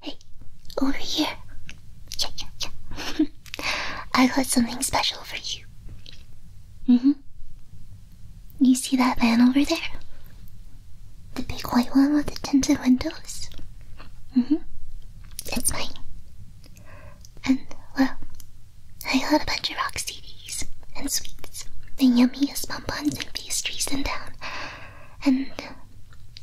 Hey, over here. Yeah, yeah, yeah. I got something special for you. hmm. You see that van over there? The big white one with the tinted windows? hmm. It's mine. And, well, I got a bunch of rock CDs and sweets the yummiest bonbons and pastries in town and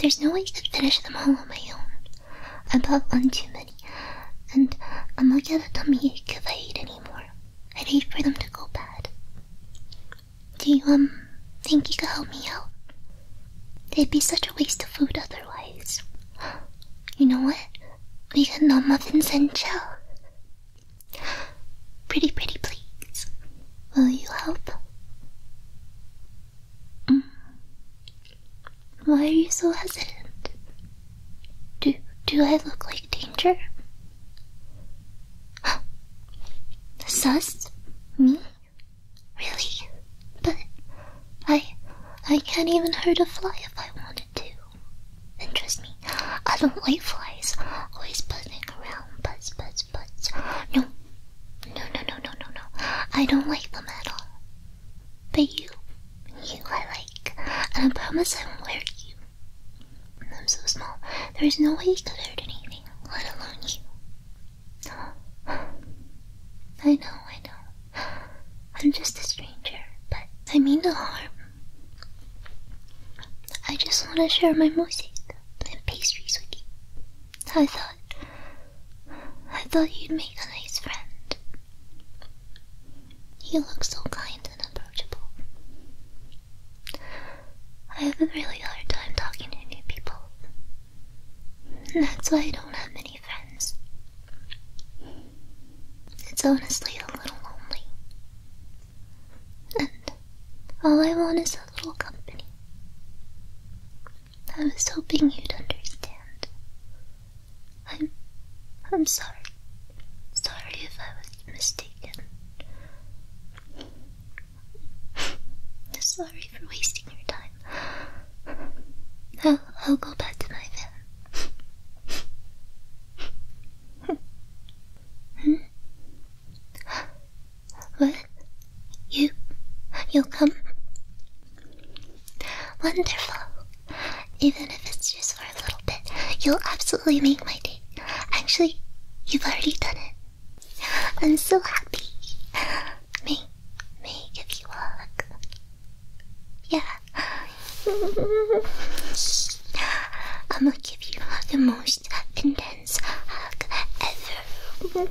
there's no way I can finish them all on my own. I bought one too many, and I'm not gonna tell me if I eat anymore. I'd hate for them to go bad. Do you, um, think you could help me out? It'd be such a waste of food otherwise. You know what? We can no muffins and chill. Pretty, pretty, please. Will you help? Mm. Why are you so hesitant? Do do I look like danger? Sus? Me? Really? But I I can't even hurt a fly if I wanted to. And trust me, I don't like flies. Always buzzing around, buzz, buzz, buzz. No, no, no, no, no, no, no. I don't like them at all. But you, you I like, and I promise I won't hurt you. I'm so small, there's no way you could hurt anything, let alone you. I know, I know. I'm just a stranger, but I mean no harm. I just want to share my music and pastries with you. I thought I thought you'd make a nice friend. You look so kind and approachable. I have a really hard time talking to new people. That's why I don't have many friends. It's honestly a little lonely. And all I want is a little company. I was hoping you'd understand. I'm I'm sorry. Sorry if I was mistaken. sorry for wasting your time. I'll, I'll go back to my van. Hmm? What? You? You'll come? Wonderful. Even if it's just for a little bit, you'll absolutely make my day. Actually, you've already done it. I'm so happy. May, may I give you a hug? Yeah. I'm gonna give you the most intense hug ever. you are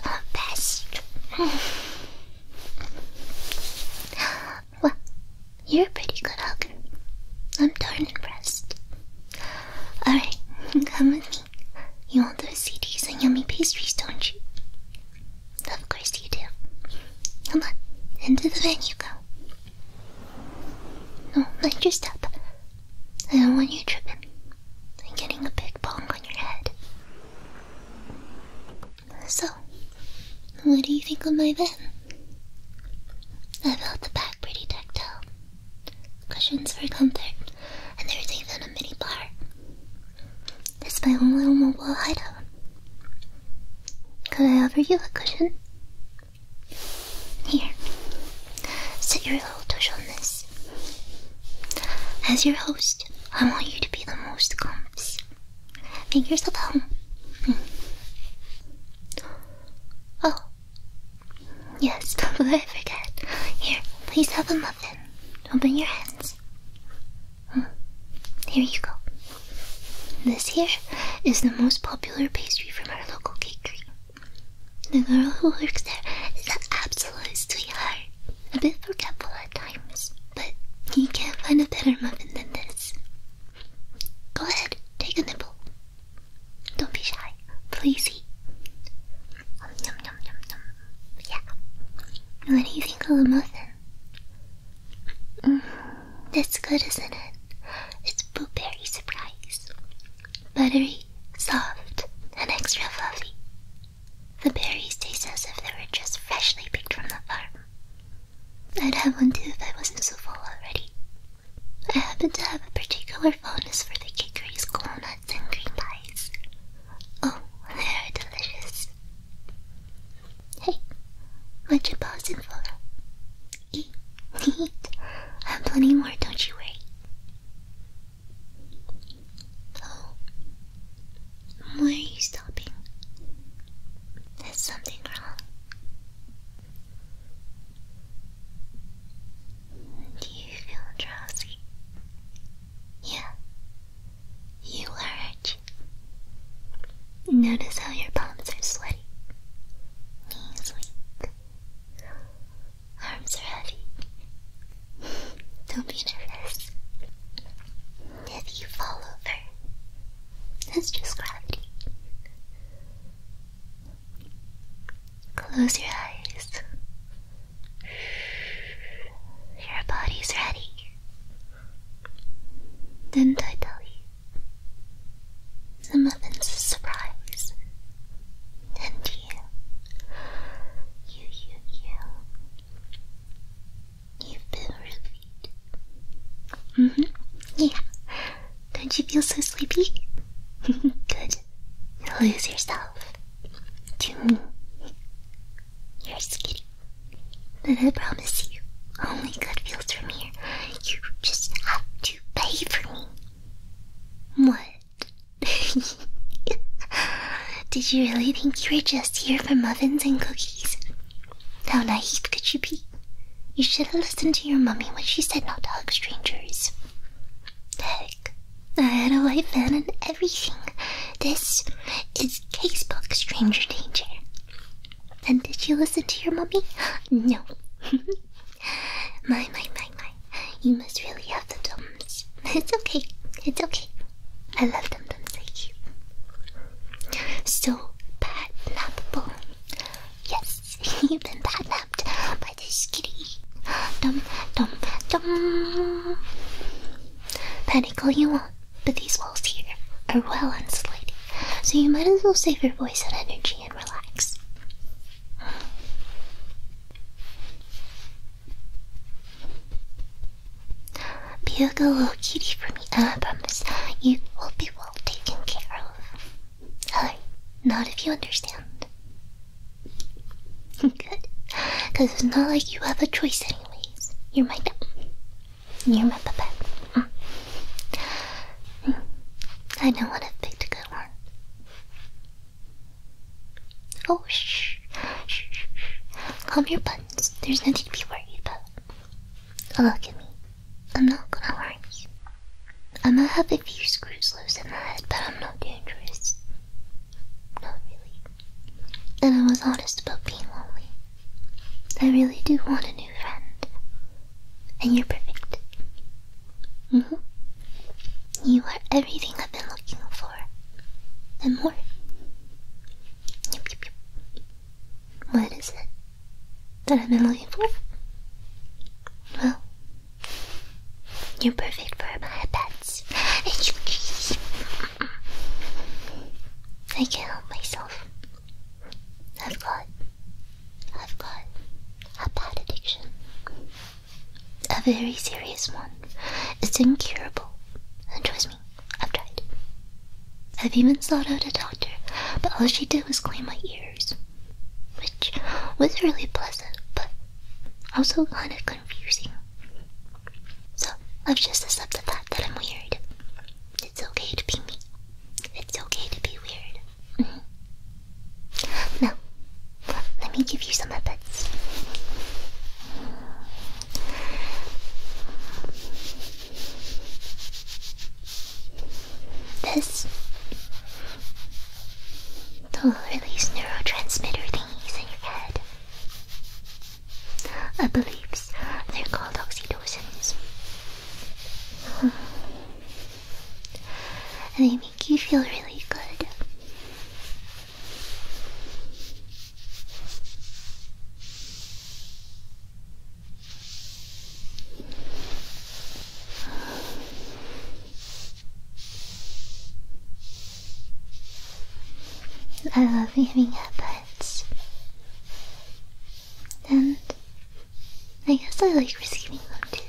the best. well, you're a pretty good hugger. I'm darn impressed. Alright, come with me. You want those CDs and yummy pastries, don't you? Of course you do. Come on, into the van you go. No, mind your step. I don't want you tripping and getting a big bump on your head. So, what do you think of my bed? I felt the back pretty tactile. Cushions for comfort, and there's even a minibar. bar. It's my own little mobile hideout. Could I offer you a cushion? Here. Sit your little tush on this. As your host, I want you to be the most comfs. Make yourself home. Hmm. Oh. Yes, but I forget. Here, please have a muffin. Open your hands. Hmm. Here you go. This here is the most popular pastry from our local bakery. The girl who works there is an absolute sweetheart. A bit forgetful at times, but you can't find a better muffin than this. Go ahead, take a nibble. Don't be shy. Please eat. nom, nom, nom, nom. Yeah. What do you think of the muffin? that's good, isn't it? It's blueberry surprise. Buttery, soft, and extra fluffy. The berries taste as if they were just freshly picked from the farm. I'd have one too if I wasn't so full already. I happen to have a particular fondness for the Kikri's cool nuts and green pies. Oh, they are delicious. Hey, what you pausing for? Eat, eat. I have plenty more, don't you worry. Oh, why are you stopping? Is something wrong? Do you feel drowsy? Yeah, you are Notice how your palms are sweaty, knees weak, arms are heavy. Don't be nervous. If you fall over, that's just gravity. Close your eyes. Your body's ready. Didn't I tell you? The muffins a surprise. And you, you, you, you, you've been roofied. hmm. Yeah. Don't you feel so sleepy? Good. Lose yourself. To me. You're skitty. But I promise you, only good feels from here. You just have to pay for me. What? Did you really think you were just here for muffins and cookies? How naive could you be? You should have listened to your mummy when she said not to hug strangers. Heck, I had a life van and everything. This is casebook stranger danger. And did you listen to your mommy? No. my, my, my, my. You must really have the thumbs. It's okay. It's okay. I love them, them so cute. So, patnappable. Yes, you've been patnapped by this kitty. Dum, dum, dum. Panic all you want, but these walls here are well insulated. So you might as well save your voice and energy and relax. Be a good little kitty for me, and I promise you will be well taken care of. Alright, not if you understand. Good, because it's not like you have a choice anyways. You're my you remember that? Mm. mm. I know what I've picked a good one. Oh, shh. shh, shh, Calm your buttons. There's nothing to be worried about. Oh, look at me. I'm not gonna worry you. I might have a few screws loose in my head, but I'm not dangerous. Not really. And I was honest about being lonely. I really do want a new friend. And you're perfect. hmm. You are everything I've been looking for. And more. What is it that I've been looking for? Well, you're perfect for my pets. And you I can't help myself. I've got I've got a bad addiction. A very serious one. It's incurable. And trust me, I've tried. I've even sought out a doctor, but all she did was clean my ears. Which was really pleasant, but also kind of confusing. So I've just accepted that that I'm weird. It's okay to be me. It's okay to be weird. Mm-hmm. now, let me give you some Muppets. This. They'll release neurotransmitter thingies in your head. I believe they're called oxytocins. And they make you feel really good. I love giving headbutts. And I guess I like receiving them too.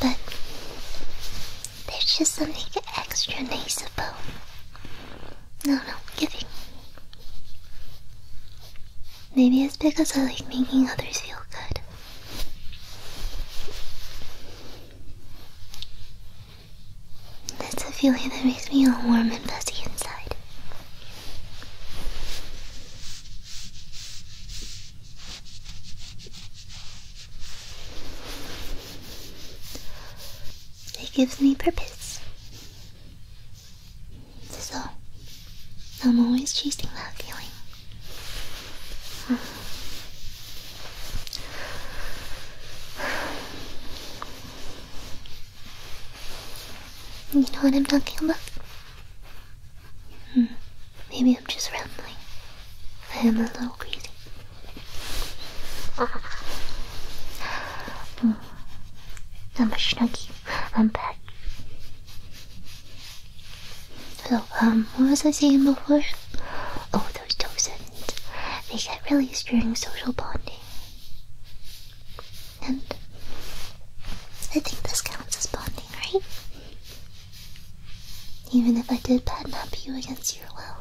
But there's just something extra nice about no, no, giving. Maybe it's because I like making others feel good. That's a feeling that makes me all warm and fuzzy inside. It gives me purpose. So, I'm always chasing that feeling. You know what I'm talking about? Hmm. Maybe I'm just rambling. I am a little crazy. I'm hmm. a snuggie. I'm back. So, um, what was I saying before? Oh, those toxins. They get released during social bonding. And I think this counts as bonding, right? Even if I did badmap you against your will.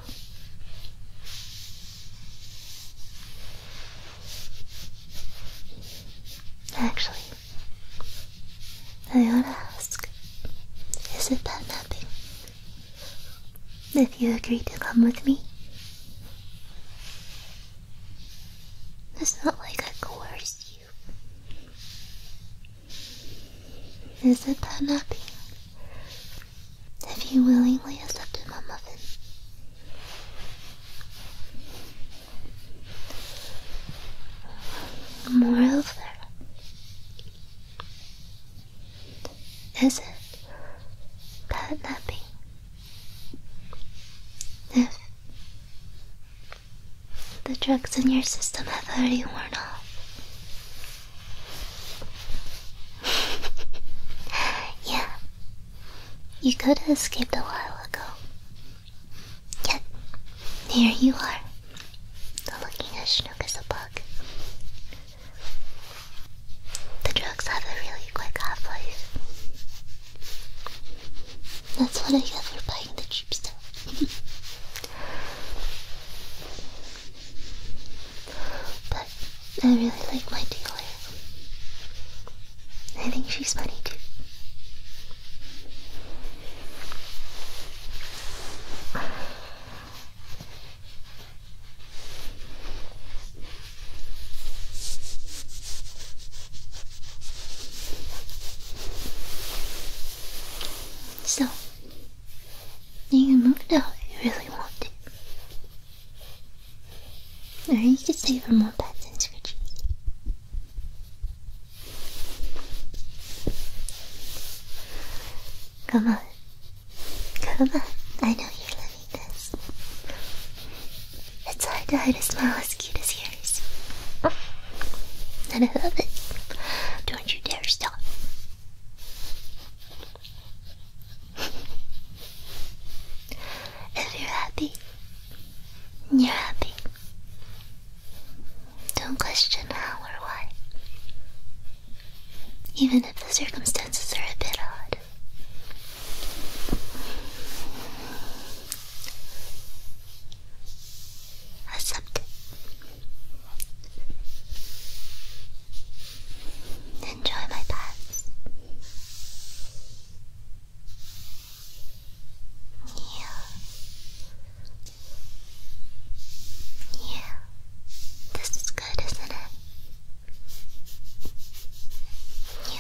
Actually, I ought to ask, is it bad mapping if you agree to come with me, it's not like I coerced you. Is it that happy? If you willingly accepted my muffin, moreover, is it catnapping? If the drugs in your system have already worn off. yeah. You could have escaped a while ago. Yet, here you are, looking as snook as a bug. The drugs have a really quick half-life. That's what I get for buying the cheap stuff. but I really like my dealer. I think she's funny too. So, you can move it out you really want to. Or you could stay for more pets and scratches. Come on, Come on, I know you're loving this. It's hard to hide a smile as cute as yours. And I love it. Don't you dare stop. if you're happy, you're happy. Don't question how or why. Even if the circumstances are a bit odd, Accept it. Enjoy my pants. Yeah. Yeah. This is good, isn't it? Yeah,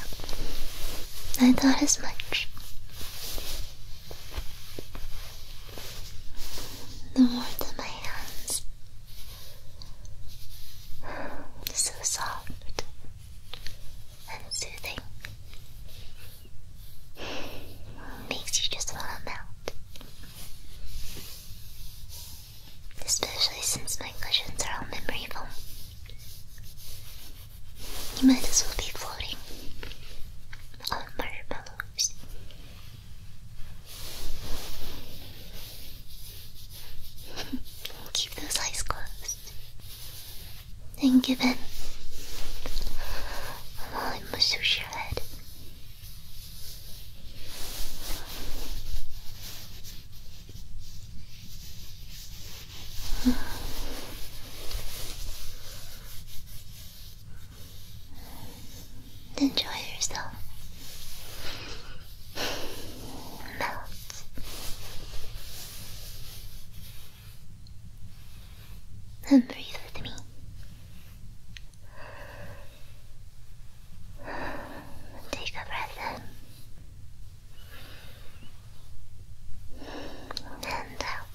I thought as much. The warmth of my hands so soft and soothing. Makes you just want to melt especially since my cushions are all memory foam. You might as well be floating on marshmallows. Keep those eyes closed and give in while oh, I massage your head. Enjoy yourself. Melt. And breathe with me. Take a breath in and out.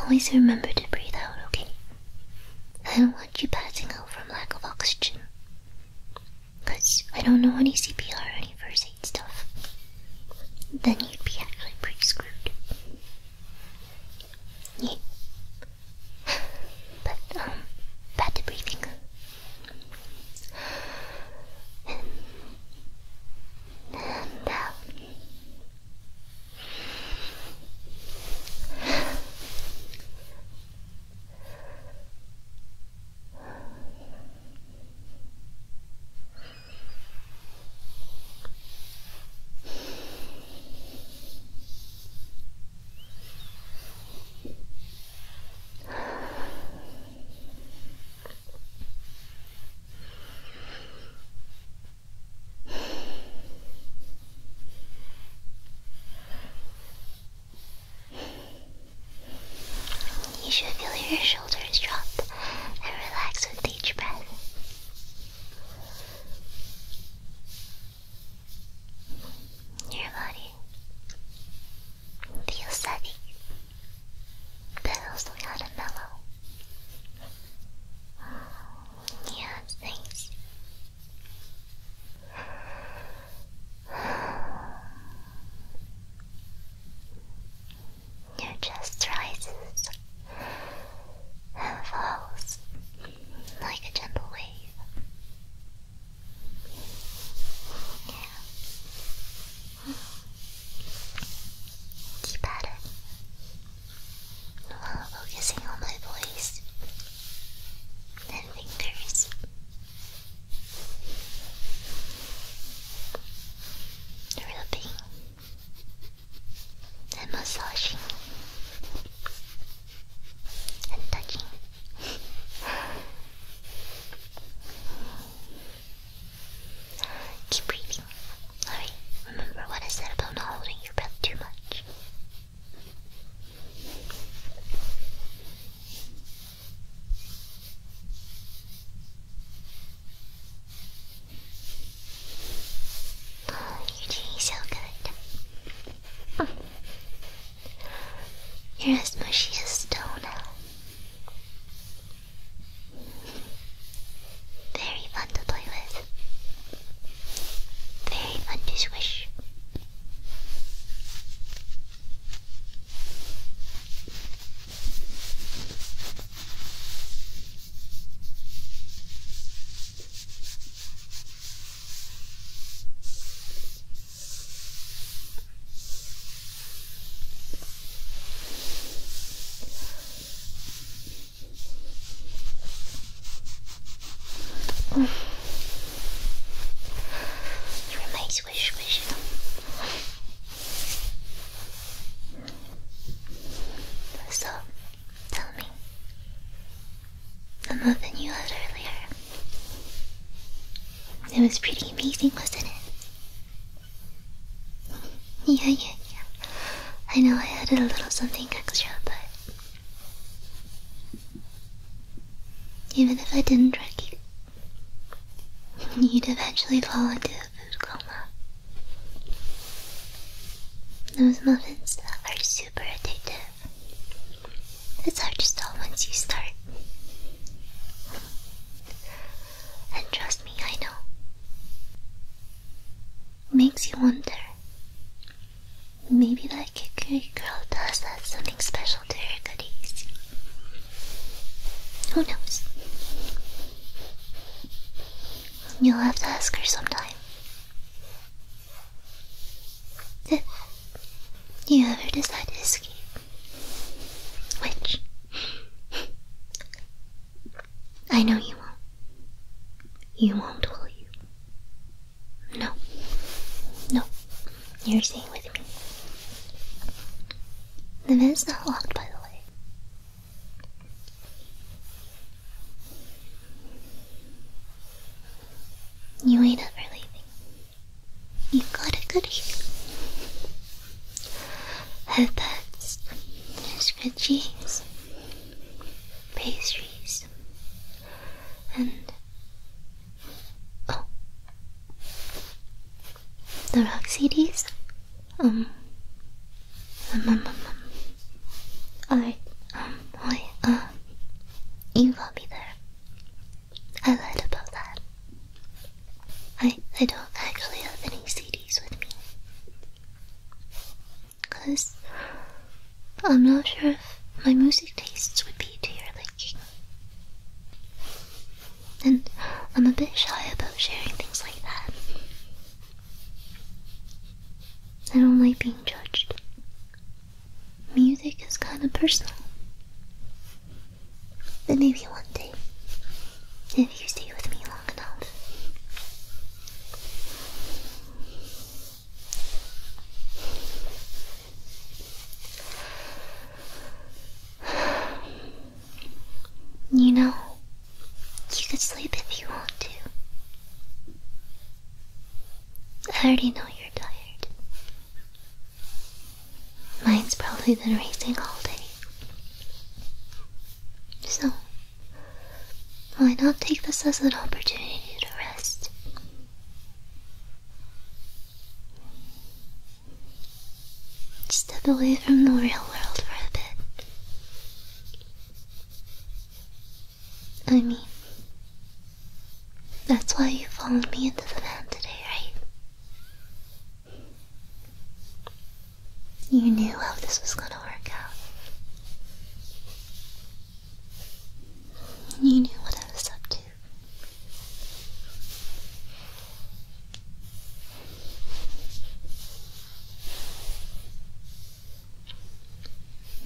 Always remember to breathe out, okay? I don't want you passing out from lack of oxygen. Because I don't know any CPR or any first aid stuff. Then you'd be actually pretty screwed. Yeah but um, bad breathing. And out. You should feel your shoulders drop and relax with each breath. Nobody. The aesthetic. That also had a mellow. Yeah, thanks. You just rises and falls like a gentle wave. Keep at it. While focusing on my voice and fingers. Rubbing and massaging and touching. Keep breathing. Alright, remember what I said about not holding your breath too much. Oh, you're doing so good. You're as mushy as stone. Very fun to play with. Very fun to swish. Mm. You remain squish squish. So, tell me, the muffin you had earlier. It was pretty amazing, wasn't it? yeah, yeah, yeah. I know I added a little something extra, but. Even if I didn't drug you'd eventually fall into a food coma. Those muffins are super addictive. It's hard to stop once you start. And trust me, I know. Makes you wonder. Maybe that Kikui girl does have something special to her goodies. Who knows? You'll have to ask her sometime. If you ever decide to escape, which I know you won't. You won't, will you? No. No. You're staying with me. The bed's not locked, by the way. You ain't ever leaving. You got a goodie. Headbands, scratchies, pastries, and oh, the rock Um, um, um, um. alright, um, boy, um, uh, you will be there. I lied about that. I I don't actually have any CDs with me. Cause I'm not sure if my music tastes would be to your liking. And I'm a bit shy about sharing things like that. I don't like being judged. Music is kind of personal. But maybe one day, if you stay with me long enough. You know, you can sleep if you want to. I already know you're tired. Mine's probably been racing all day. So, why not take this as an opportunity to rest? Step away from the real world for a bit. I mean, that's why you followed me into the van today, right? You knew how this was gonna work out. You knew what I was up to.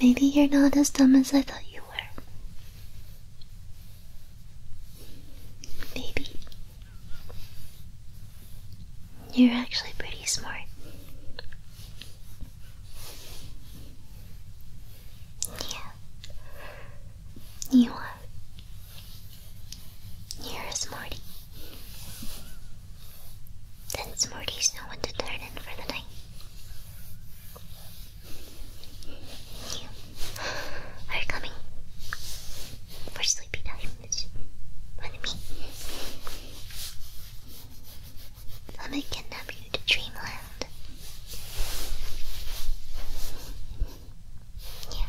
Maybe you're not as dumb as I thought you were everywhere. you're actually pretty smart. Yeah, you are. You're a smarty. Then smarties know when to turn in for the night. You are coming for sleepy times with me. Let me kidnap you to dreamland. Yeah.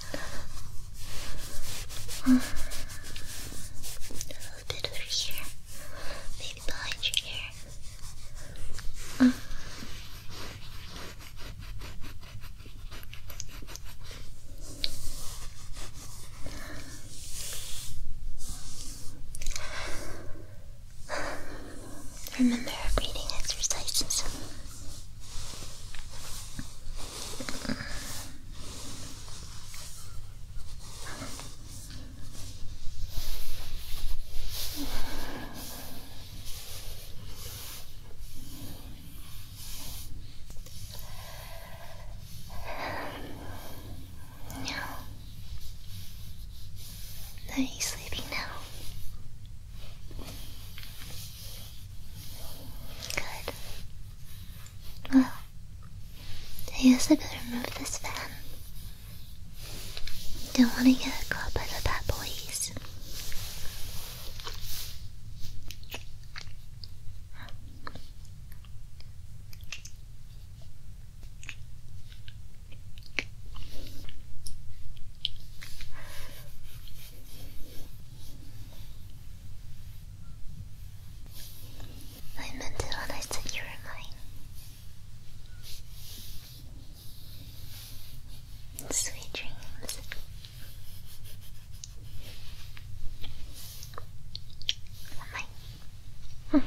A little bit over here, maybe behind your ear. Remember our breathing exercises. Now, are you sleeping now? Good. Well, I guess I better remove this fan. Don't want to get caught by the bad police. I meant it when I said you were mine. Sweet dreams. Bye.